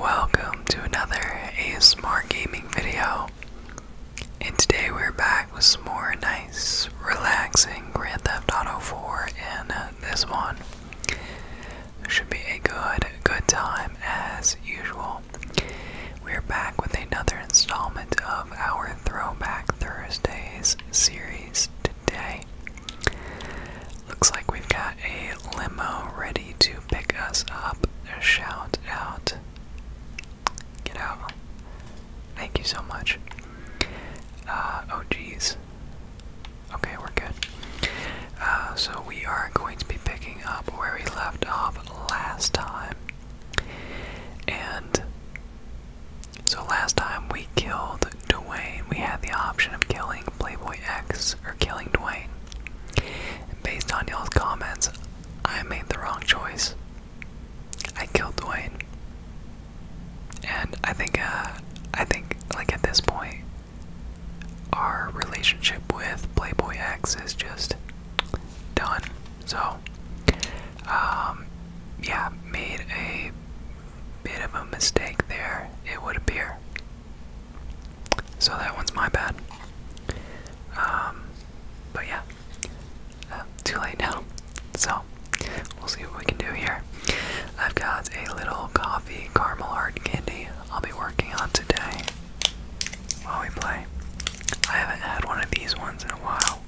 Welcome to another ASMR gaming video. And today we're back with some more nice, relaxing Grand Theft Auto 4 and uh, this one. Should be a good, good time as usual. We're back with another installment of our Throwback Thursdays series today. Looks like we've got a limo ready to pick us up. A shout out. Get out. Thank you so much. Uh, oh, jeez. Okay, we're good. Uh, so we are going to be picking up where we left off last time. And so last time we killed Dwayne, we had the option of killing Playboy X or killing Dwayne. based on y'all's comments, I made the wrong choice. I killed Dwayne. And I think, uh, I think, like, at this point, our relationship with Playboy X is just done. So, um, yeah, made a bit of a mistake there, it would appear. So that one's my bad. Um, but yeah, uh, too late now. So we'll see what we can do here. I've got a little coffee caramel hard candy I'll be working on today while we play. I haven't had one of these ones in a while.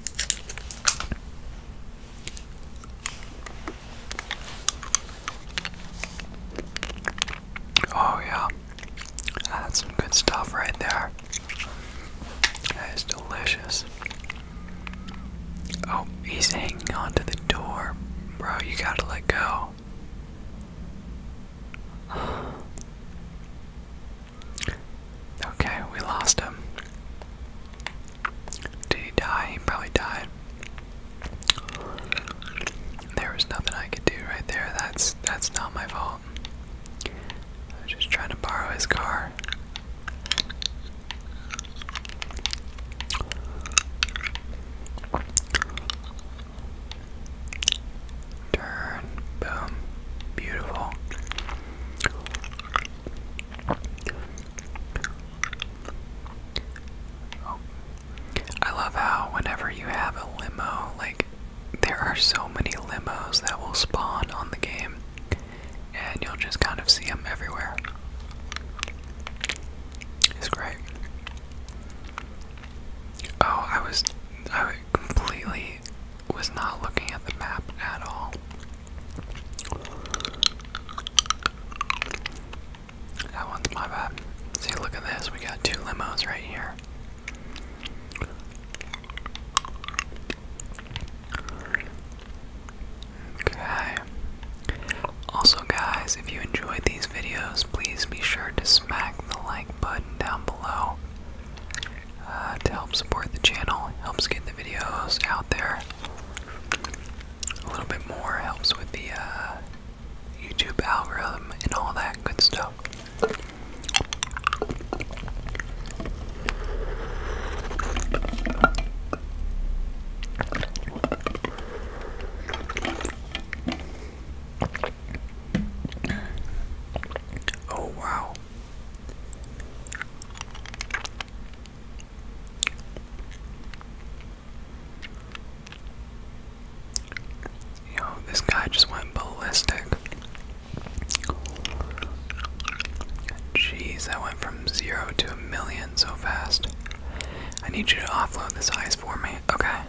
Oh, yeah. That's some good stuff right there. That is delicious. Oh, he's hanging on to the door. Bro, you gotta let go. Okay, we lost him. Did he die? He probably died. There was nothing I could do right there. That's that's not my fault. I was just trying to borrow his car. Turn. Boom. Beautiful. Oh. I love how whenever you have a limo, like there are so many limos that will spawn on the game, and you'll just kind of see them everywhere. It's great. Oh, I was, I completely was not looking at the map at all. That one's my bad. See, look at this. We got two limos right here. Okay. Also, guys, if you enjoyed these videos, please be sure to smack the like button down below uh, to help support the channel. helps get the videos out there a little bit more. Helps with the uh, YouTube algorithm and all that good stuff. Oh, wow. Yo, this guy just went ballistic. Jeez, that went from zero to a million so fast. I need you to offload this ice for me. Okay.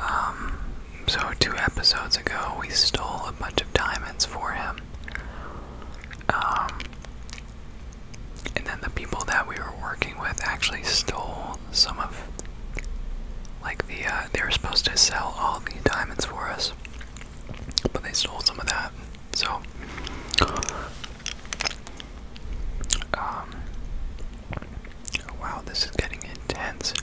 Um, so two episodes ago, we stole a bunch of diamonds for him. Um, and then the people that we were working with actually stole some of like the uh, they were supposed to sell all the diamonds for us but they stole some of that so um, wow this is getting intense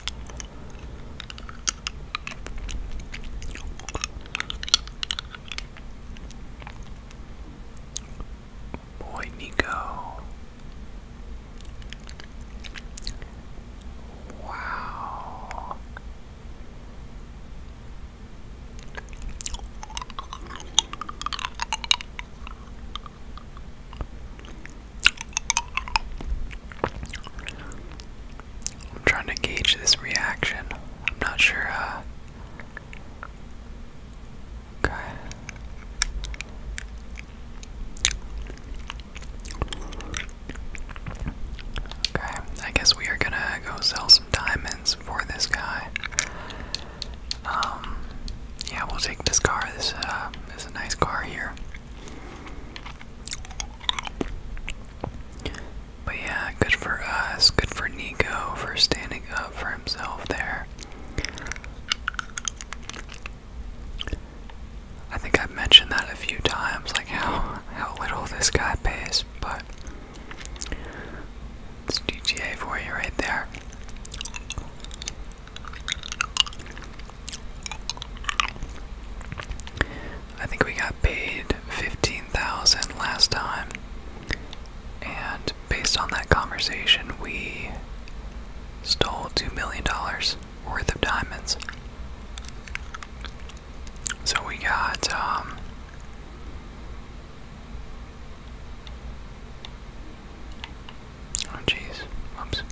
Boy, Nico. Wow. I'm trying to gauge this reaction. I'm not sure uh, Okay. Okay, I guess we are gonna go sell some diamonds for this guy. Um, yeah, we'll take this car. This uh, is a nice car here. But yeah, good for us. Good for Nico for standing up for himself there. I think I've mentioned that a few times, like how how little this guy pays, but it's GTA for you right there. I think we got paid fifteen thousand last time. And based on that conversation, we stole $2 million worth of diamonds. So we got, um, oh jeez, oops.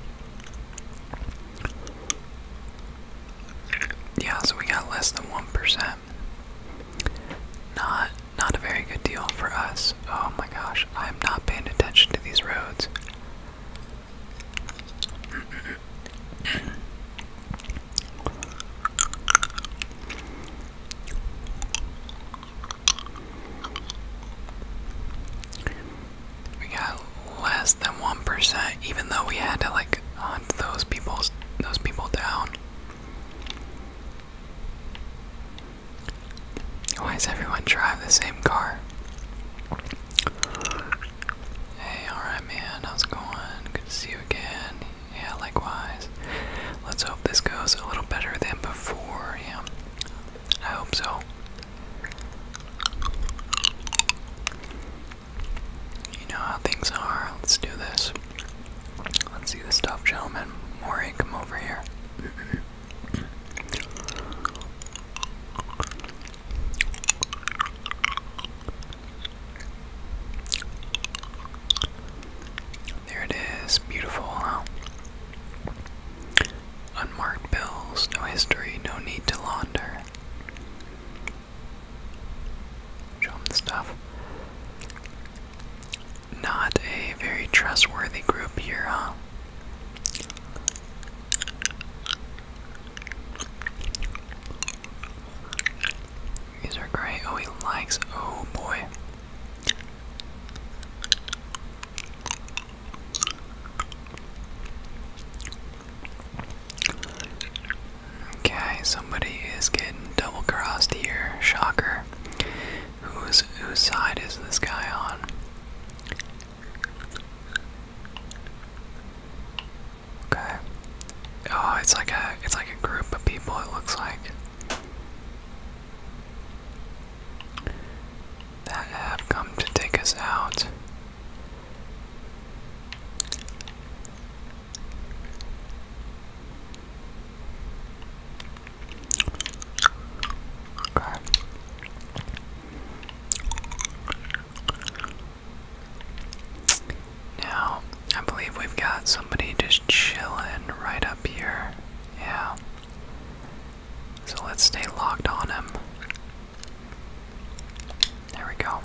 Yeah, so we got less than 1%. Not not a very good deal for us. Oh my gosh, I'm not paying attention to these roads. We got less than 1% even though we had to like hunt those people's those people down. Why does everyone drive the same car? Hey, alright man, how's it going? Good to see you again. Yeah, likewise. Let's hope this goes a little better than before, yeah. I hope so. You know how things are. Let's do this. Let's see the stuff, gentlemen. Moray, come over here. There it is, beautiful, Unmarked bills, no history, no need to launder. Show him the stuff. Not a very trustworthy group here, huh? These are great. Oh, he likes. Oh boy. Okay, somebody is getting double crossed here. Shocker. Whose whose side is this guy on? Okay. Oh, it's like a it's like a group of people it looks like. That have come to take us out. Now, I believe we've got somebody just chilling right up here. Yeah. So let's stay locked on him. There we go.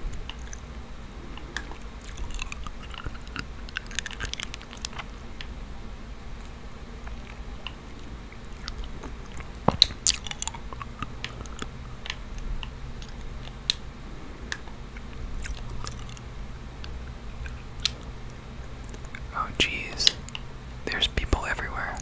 Oh, geez, there's people everywhere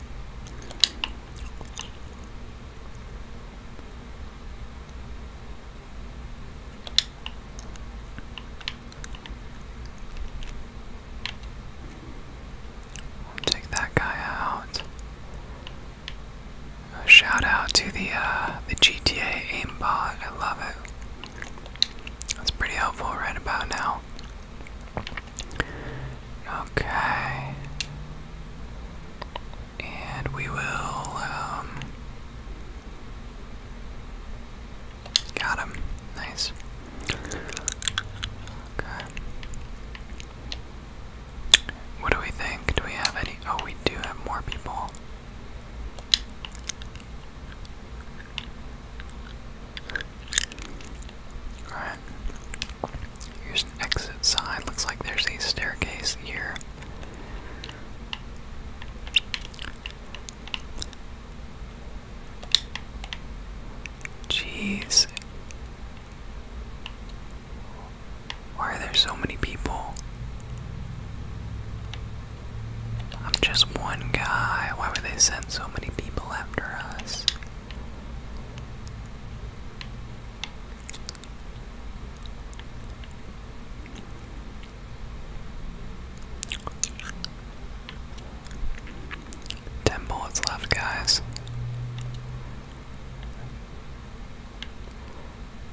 take that guy out. shout out to the uh, the GTA aimbot. I love it. That's pretty helpful right about now. Okay. And we will um, Got him. Nice. Okay. What do we think? Do we have any? Oh, we do have more people. Alright. Here's exit sign. Looks like there's a staircase here. Jeez. Why are there so many people? I'm just one guy. Why would they send so many people after us? Ten bullets left, guys.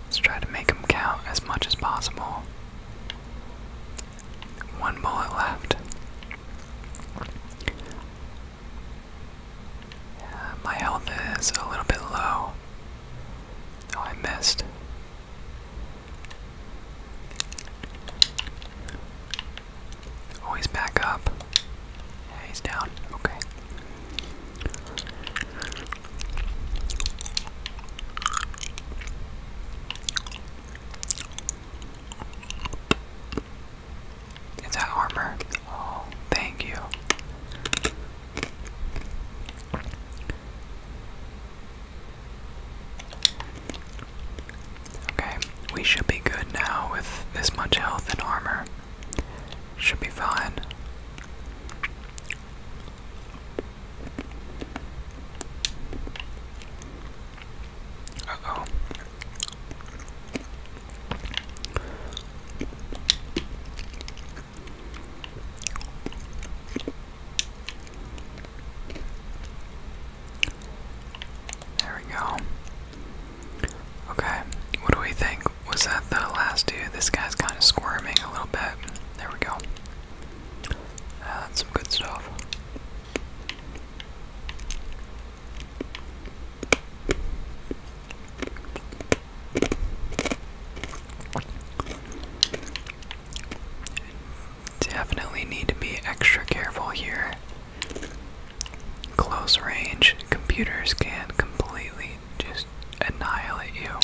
Let's try to make them count as much as possible. One bullet left. my health is a little bit low. Oh, I missed. Oh, he's back up. Yeah, he's down. Okay. Is that armor? Oh, thank you. Okay, we should be good now with this much health and armor. Should be fine. oh. There we go. Okay, what do we think? Was that the last dude? This guy's kind of squirming a little bit. There we go. that's some good stuff. Definitely need to be extra careful here. Close range computers can completely just annihilate you.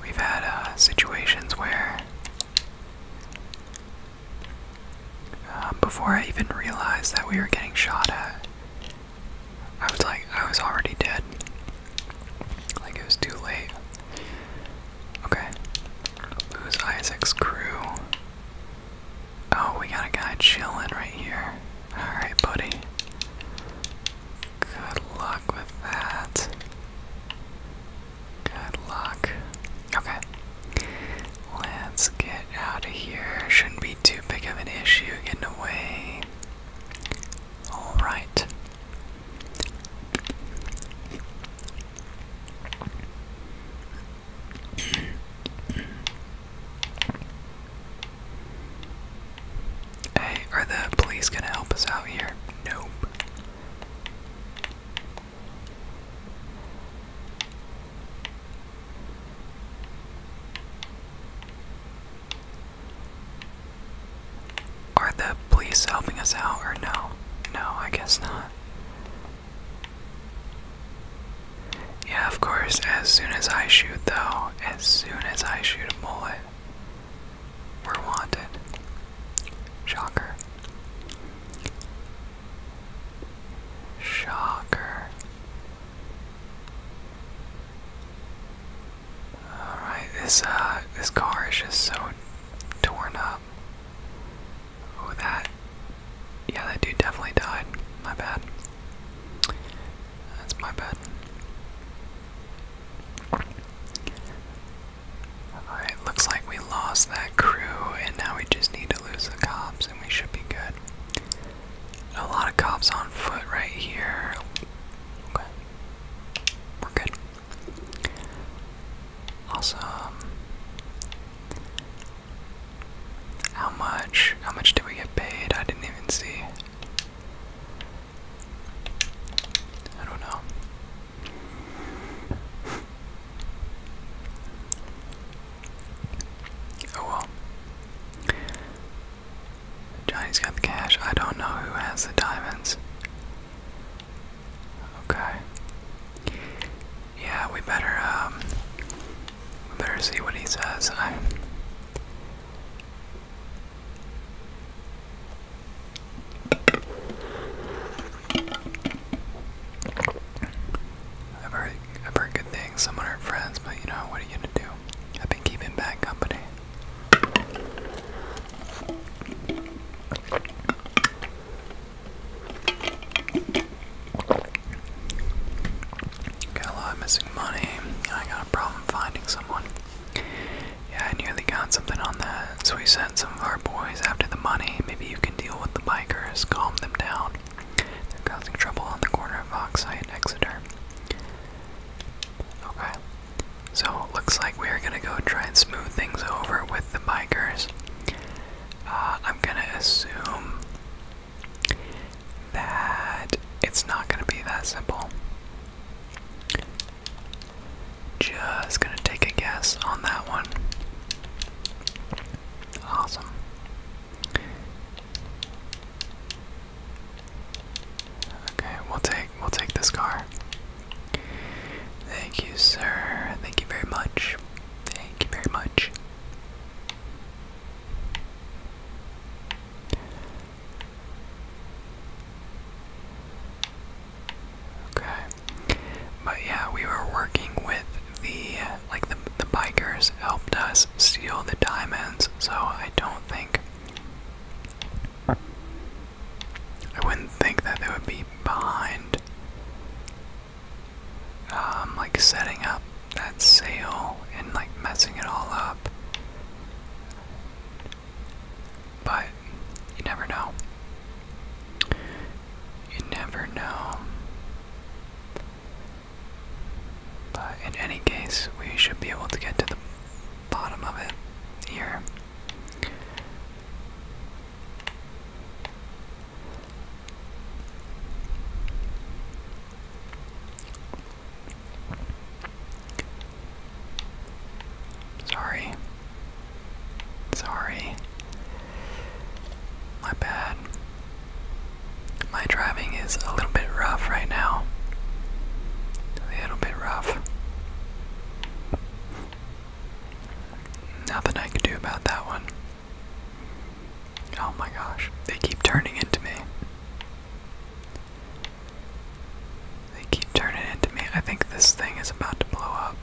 We've had uh, situations where um, before I even realized that we were getting shot at, I was like, I was already dead. Like, it was too late. Okay. Who's Isaac's crew? Oh, we got a guy chilling right here. Alright, buddy. Good luck with that. Good luck. Okay. Let's get out of here. Shouldn't be too big of an issue getting away. Alright. hey, are the police gonna help us out here? Nope. Are the police helping us out or no? No, I guess not. Yeah, of course, as soon as I shoot, though, as soon as I shoot a bullet, we're wanted. Shocker. Shocker. Alright, this uh this car is just so torn up. Oh that yeah that dude definitely died. My bad. That's my bad. Alright, looks like we lost that crew and now we just need to lose the cops and we should be good. A lot of cops on foot right here. Okay. We're good. Awesome. How much? How much did we get paid? I didn't even see. I don't know. Oh well. Johnny's got the cash. I don't know who has the diamonds. Okay. Yeah, we better um better see what he says. I I've heard, I've heard good things. Some of our friends, but you know what are you gonna do? I've been keeping bad company. Got a lot of missing money. I got a problem finding someone. Yeah, I nearly got something on that. So we sent some of our boys after the money. Maybe you can deal with the bikers, calm them down. They're causing trouble on the corner of Oxeye and Exeter. Okay. So it looks like we are gonna go try and smooth things over with the bikers. Uh, I'm gonna assume that it's not gonna be that simple. Just gonna take a guess on that one. Awesome. Okay, we'll take we'll take this car. Thank you, sir. Thank you very much. Thank you very much. Okay. But yeah, we were working with the like the the bikers helped us steal the diamonds, so I don't think I wouldn't think that they would be behind um like setting up that sale and like messing it all up. But you never know. You never know. But in any case, we should be able to get to the bottom of it here. Sorry. Sorry. My bad. My driving is a little bit rough right now. A little bit rough. Nothing I can do about that one. Oh my gosh, they keep turning into me. They keep turning into me. I think this thing is about to blow up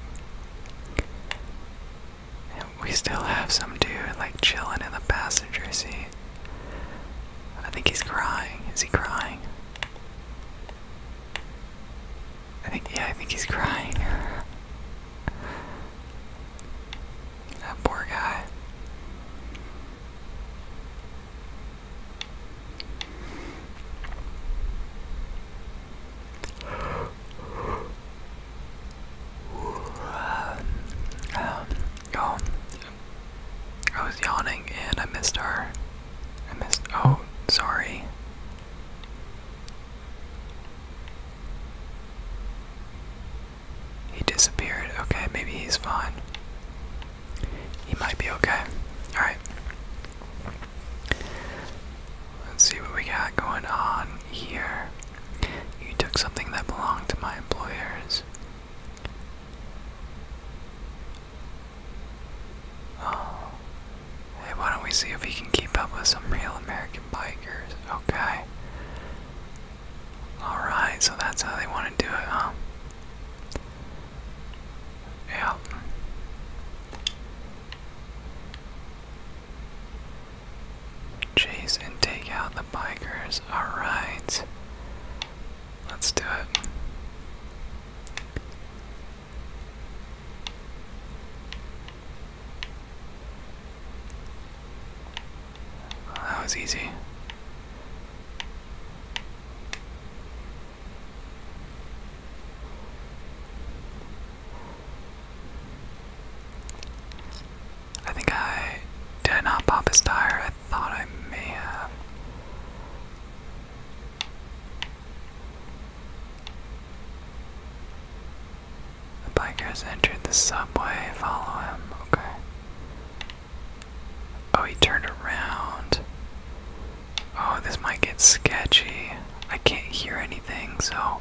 we still have some dude like chilling in the passenger seat. I think he's crying. Is he crying? I think, yeah, I think he's crying. that poor guy. Um, I was yawning and I missed our. I missed. Oh, sorry. He disappeared. Okay, maybe he's fine. He might be okay. Alright. Let's see what we got going on here. You took something that belonged to my employers. Oh. Hey, why don't we see if we can keep up with some real American bikers? Okay. Alright, so that's how they want to do it, huh? Yeah. Jason, take out the bikers. Alright. Let's do it. that was easy. I think I did not pop his tire. I thought I may have. The biker has entered the subway. Follow him. Okay. Oh, he turned around. Oh, this might get sketchy. I can't hear anything, so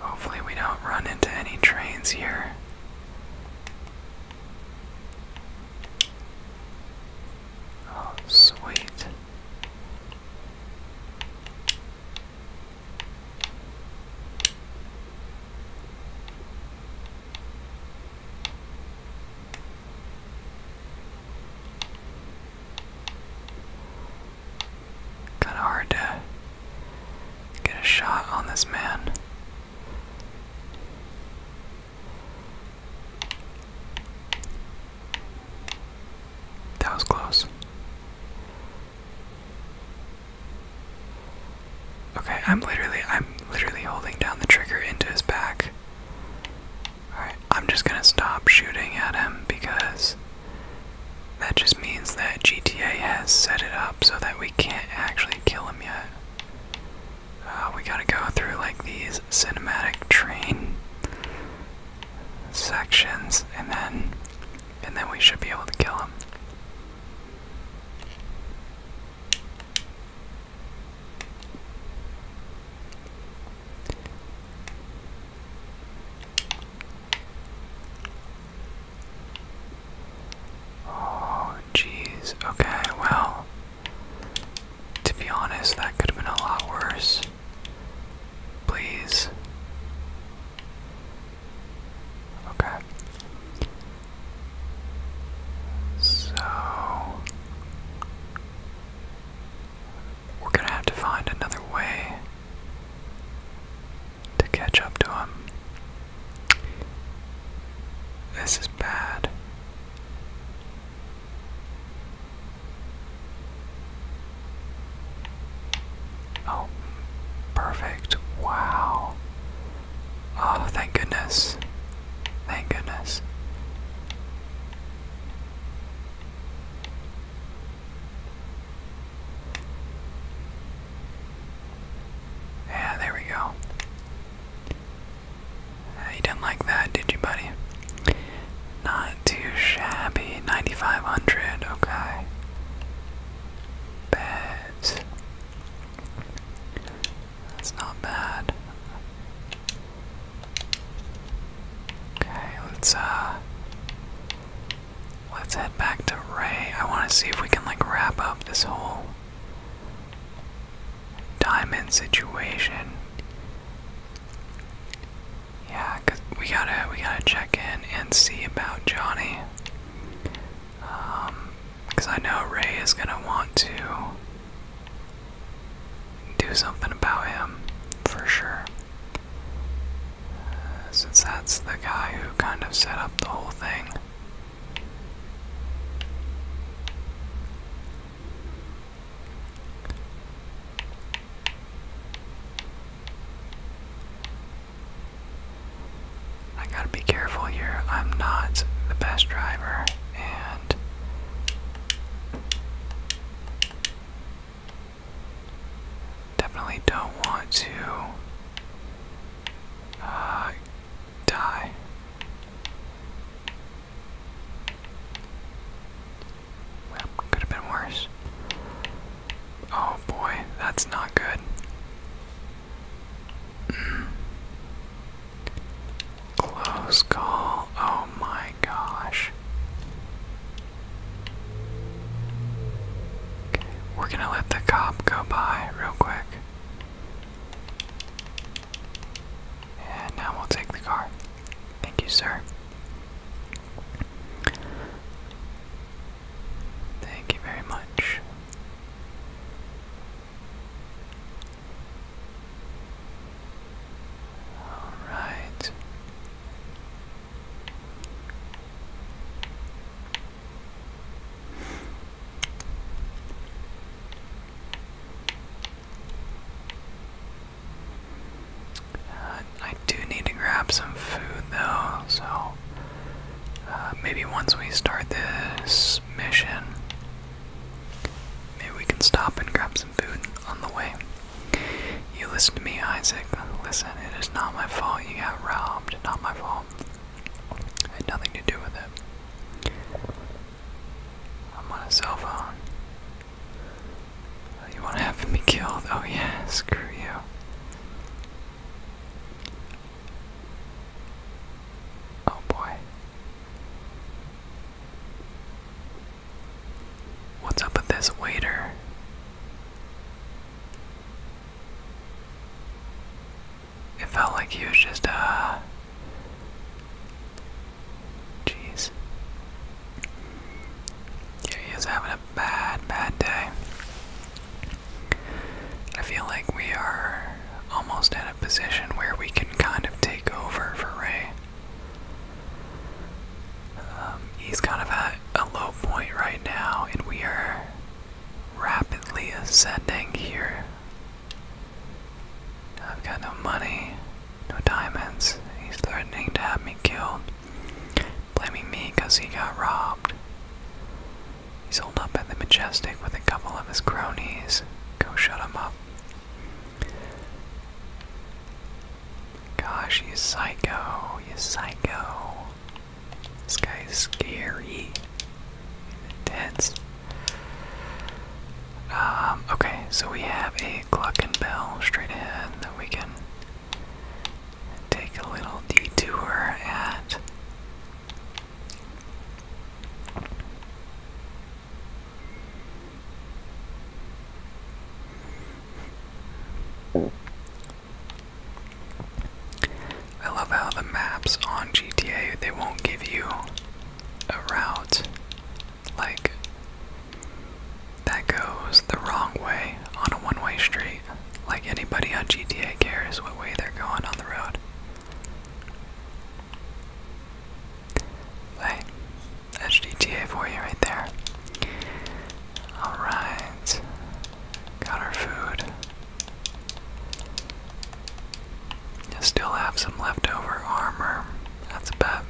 Hopefully, we don't run into any trains here. Oh, sweet. Kinda hard to get a shot on this man. That was close. Okay, I'm literally I'm literally holding down the trigger into his back. Alright, I'm just gonna stop shooting at him because that just means that GTA has set it up so that we can't actually kill him yet. Uh, we gotta go through like these cinematic train sections and then and then we should be able to kill him. Oh, jeez. Okay, well, to be honest, that could have been a lot worse. Please. Okay. So we're gonna have to find another way to catch up to him. This is bad. Oh, perfect. Wow. Oh, thank goodness. Thank goodness. Yeah, there we go. You didn't like that, did you, buddy? Not too shabby. 9500, okay. Beds. That's not bad. Okay, let's uh let's head back to Ray. I wanna see if we can like wrap up this whole diamond situation. Yeah, we gotta we gotta check in and see about Johnny. Um, cause I know Ray is gonna want to do something about him for sure. Uh, since that's the guy who kind of set up the whole thing. I gotta be careful here. I'm not the best driver, and Definitely don't want to uh, die. Well, could have been worse. Oh boy, that's not good. Mm. Close call. Oh my gosh. Okay, we're gonna let the cop go by real quick. And now we'll take the car. Thank you, sir. Thank you very much. Alright. Uh, I do need to grab some food though, so uh, maybe once we start this mission, maybe we can stop and grab some food on the way. You listen to me, Isaac. Listen, it is not my fault you got robbed. Not my fault. It had nothing to do with it. I'm on a cell phone. You want to have me killed? Oh, yeah, screw you. Oh boy. What's up with this waiter? It felt like he was just, uh. Jeez. Yeah, he was having a bad, bad day. I feel like we are almost at a position where we can kind of take over for Ray. Um, he's kind of at a low point right now, and we are rapidly ascending here. I've got no money, no diamonds. He's threatening to have me killed, blaming me because he got robbed. He's holed up at the Majestic with a couple of his cronies. Go shut him up. Gosh, you psycho, you psycho. This guy's scary. He's um, okay, so we have a Gluck and Bell straight ahead that we can take a little detour at. I love how the maps on GTA they won't give you a route like that goes the wrong way on a one-way street. Like anybody on GTA cares what way they're going on the road. Hey, that's for you right there. Alright, got our food. still have some leftover armor. That's a bet.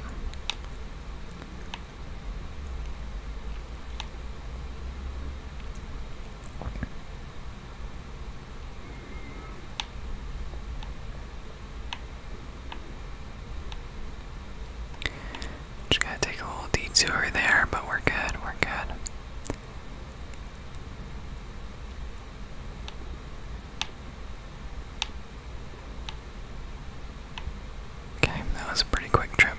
Just gotta take a little detour there, but we're good, we're good. Okay, that was a pretty quick trip.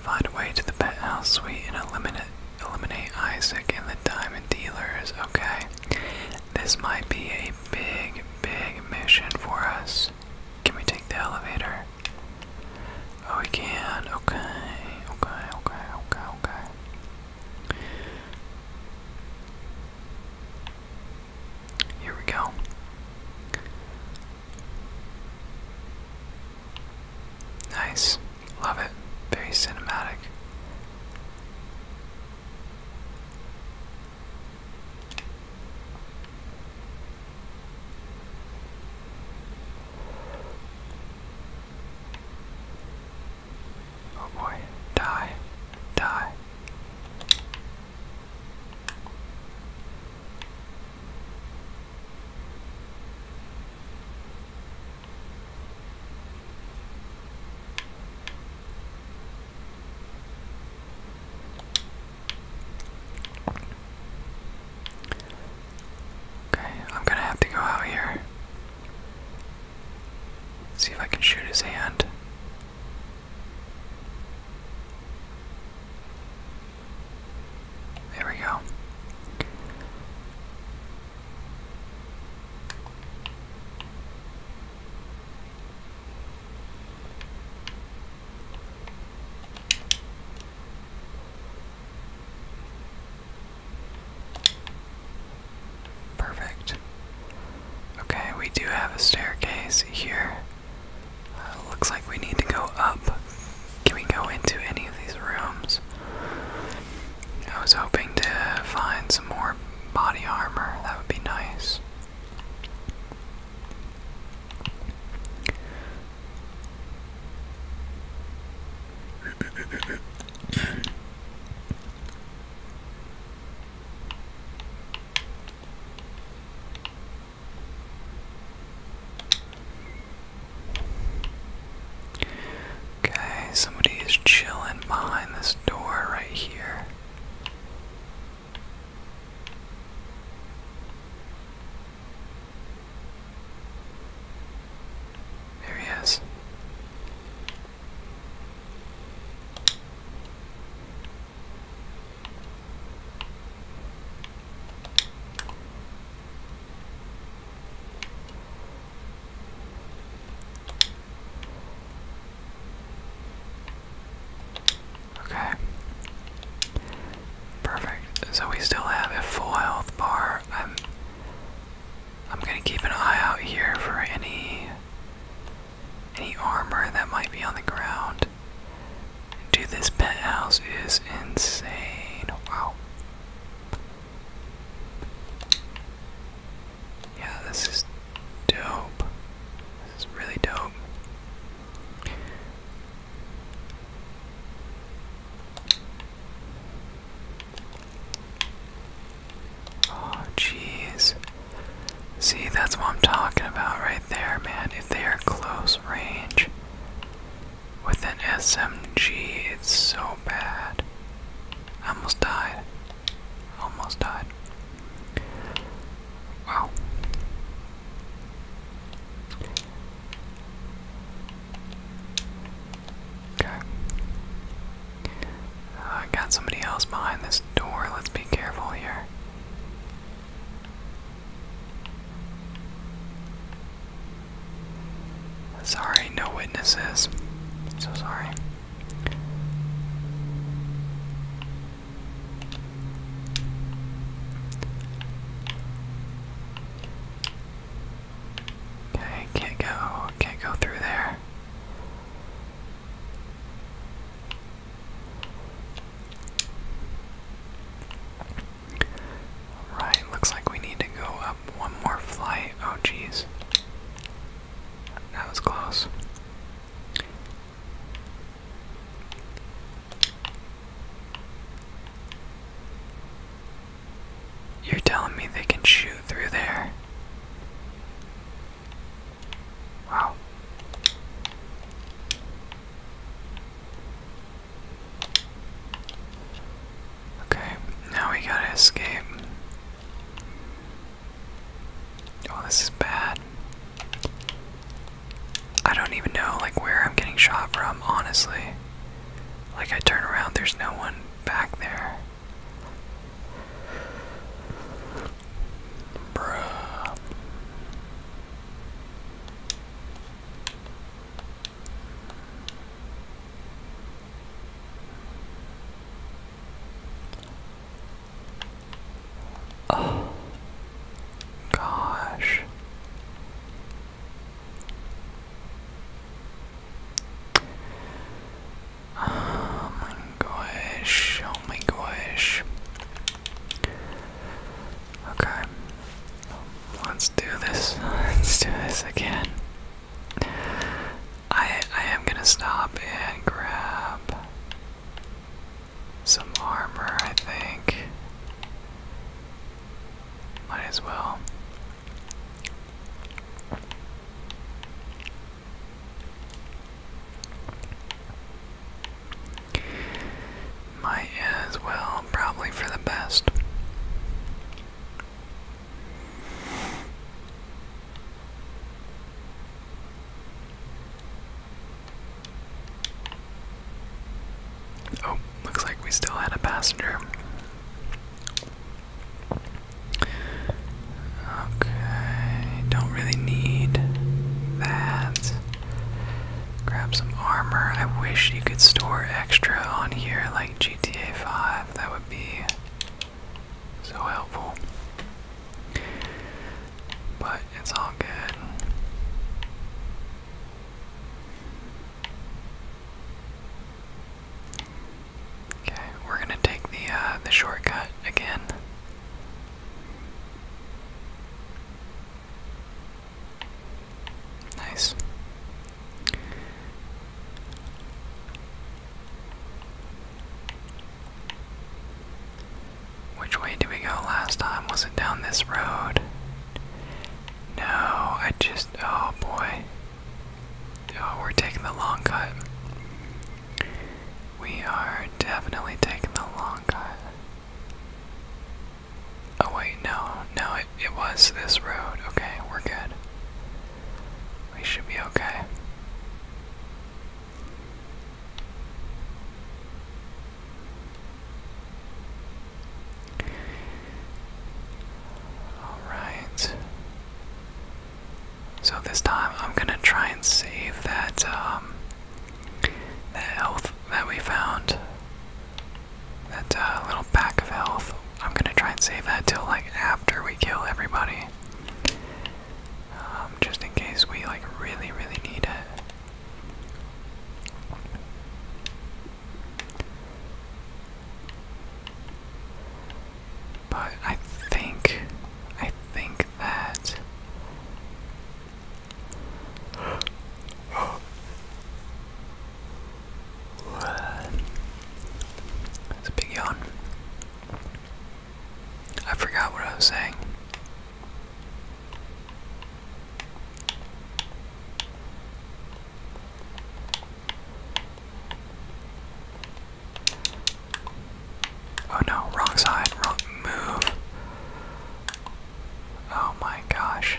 Find a way to the penthouse suite and eliminate eliminate Isaac and the diamond dealers. Okay, this might be a big, big mission for us. Can we take the elevator? Oh, we can. Okay, okay, okay, okay, okay. Here we go. Nice. Love it. Very cinematic. Oh boy. Die. Die. Okay, I'm gonna have to go out here. See if I can shoot his hand. There we go. Perfect. Okay, we do have a staircase here. Uh, looks like we need to go up. Can we go into any of these rooms? I was hoping to find some more body armor. That would be nice. Okay, somebody is chilling behind this door right here. There he is. Okay. Perfect. So we still have a full health bar. I'm I'm gonna keep an eye out here for any any armor that might be on the ground. Dude, this penthouse is insane. Wow. Yeah, this is dope. This is really dope. Oh, jeez. See, that's what I'm talking about right there, man. If they are close range, with an SMG, it's so bad. I almost died. Almost died. Wow. Okay. Uh, I got somebody else behind this door. Let's be careful here. Sorry, no witnesses. so sorry. Okay, can't go, can't go through there. Alright, looks like we need to go up one more flight. Oh, jeez. That was close. You're telling me they can shoot through there? Wow. Okay, now we gotta escape. Oh, this is bad. I don't even know like where I'm getting shot from, honestly. Like I turn around, there's no one back there. Bruh. Oh, gosh. Oh my gosh, oh my gosh. Okay. Let's do this. Let's do this again. I I am gonna stop and grab some armor, I think. Might as well. Might as well, probably for the best. Oh, looks like we still had a passenger. Okay, don't really need that. Grab some armor. I wish you could store extra on here like GTA 5. That would be so helpful. But it's all good. Okay, we're gonna take the uh, the shortcut again. Nice. Which way did we go last time? Was it down this road? No, I just. Oh boy. Oh, we're taking the long cut. We are definitely taking the long cut. Oh wait, no, no, it, it was this road. Okay, we're good. We should be okay. Alright. So this time I'm gonna try and save that um, that health that we found. That uh, little pack of health, I'm gonna try and save that till like after we kill everybody. Um, just in case we like really, really need it. But I think, I think that. It's a big yawn. I forgot what I was saying. Oh no, wrong side, wrong move. Oh my gosh.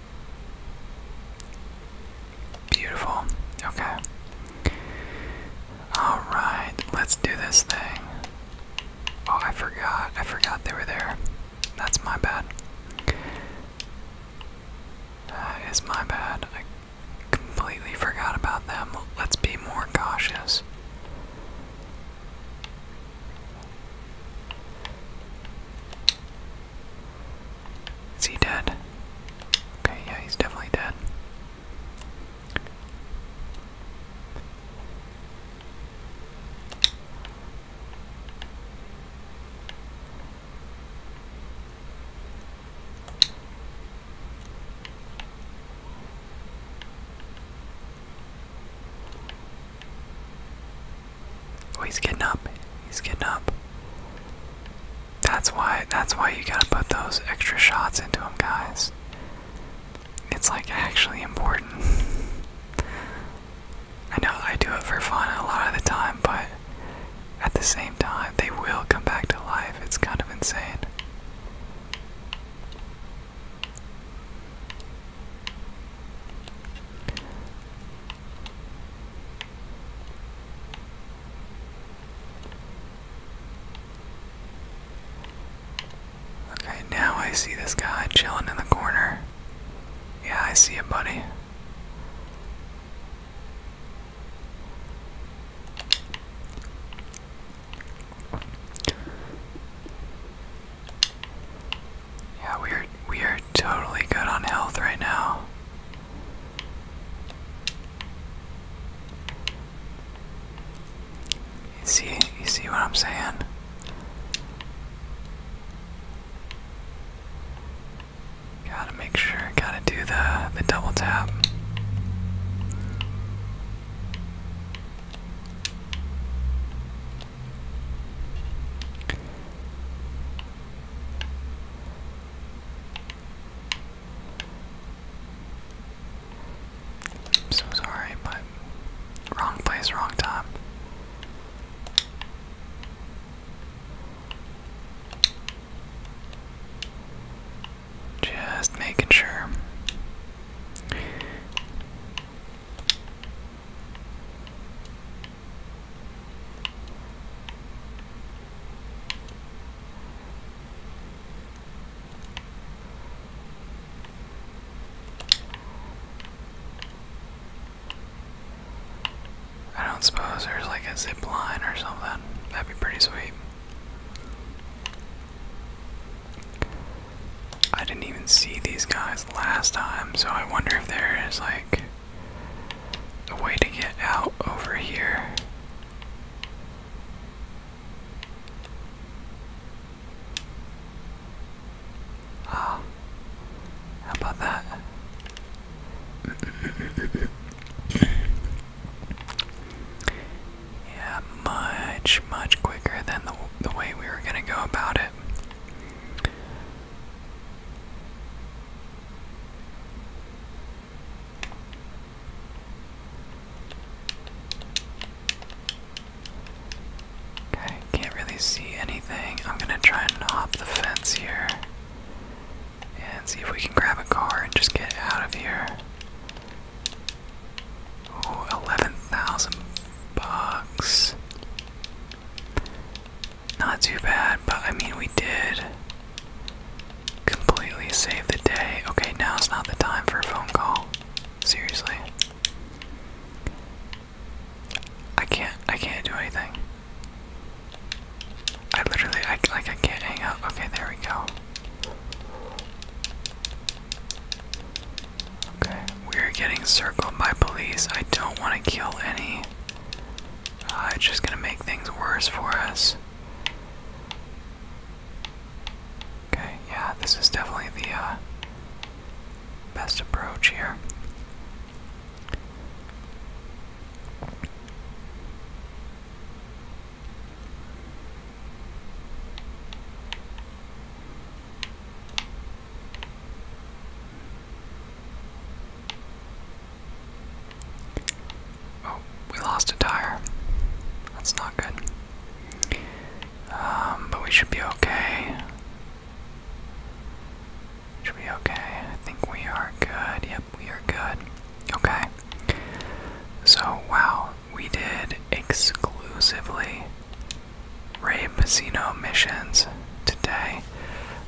Beautiful. Okay. Alright, let's do this thing. Oh, I forgot. I forgot they were there. That's my bad. That is my bad. I completely forgot about them. Let's be more cautious. Is he dead? Okay, yeah, he's definitely dead. Oh, he's getting up. He's getting up. That's why. That's why you gotta put those extra shots into him, guys. It's like actually important. I know I do it for fun a lot of the time, but at the same time, they will come back to life. It's kind of insane. Okay, now I see this guy chilling in the corner. Yeah, I see him, buddy. Yeah, we are we are totally good on health right now. You see you see what I'm saying? Gotta make sure, gotta do the the double tap. I'm so sorry, but wrong place, wrong time. Just making sure. I don't suppose there's like a zip line or something. That'd be pretty sweet. I didn't even see these guys last time, so I wonder if there is like a way to get out over here. Ah, how about that? yeah, much, much quicker than the, the way we were going to go about it. Okay, can't really see anything. I'm gonna try and hop the fence here and see if we can grab a car and just get out of here. 11,000 bucks. Not too bad, but I mean, we did completely save the day. Okay, now it's not the time for a phone call. Seriously. I can't, I can't do anything. I literally, I, like, I can't hang up. Okay, there we go. Okay, we're getting circled by police. I don't want to kill any Ah, it's just gonna make things worse for us. Okay, yeah, this is definitely the uh, best approach here. Oh, we lost a tire. That's not good. Um, but we should be okay. Should be okay. I think we are good. Yep, we are good. Okay. So, wow, we did exclusively Ray Pizzino missions today.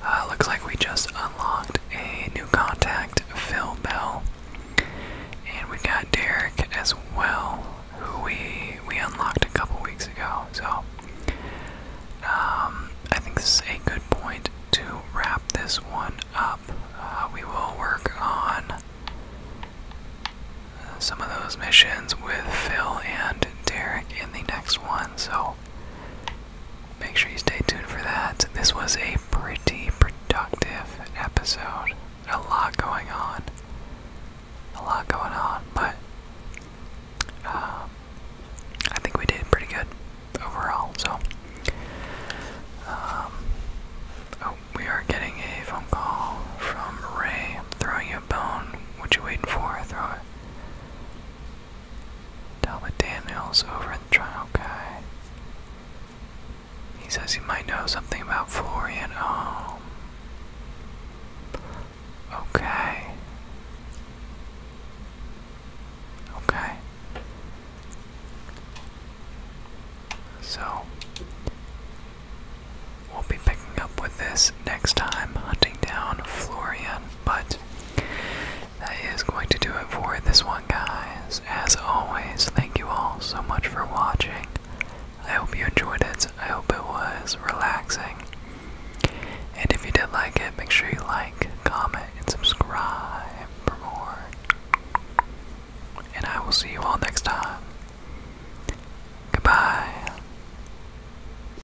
Uh, looks like we just unlocked a new contact, Phil Bell. And we got Derek as well, who we we unlocked a couple weeks ago. So um, I think this is a good point to wrap this one up. Uh, we will work on some of those missions with Phil and Derek in the next one. So Make sure you stay tuned for that. This was a pretty productive episode. A lot going on. A lot going on, but um, I think we did pretty good overall. So, um, oh, we are getting a phone call from Ray. throwing you a bone. What you waiting for? Throw it. Talbot Daniels over in the trial guy. He says he might know something about Florian. Oh. Okay. Okay. So, we'll be picking up with this next time, hunting down Florian, but that is going to do it for this one, guys. As always, thank you all so much for watching. I hope you enjoyed it. I hope it was relaxing. And if you did like it, make sure you like, comment, and subscribe for more. And I will see you all next time. Goodbye.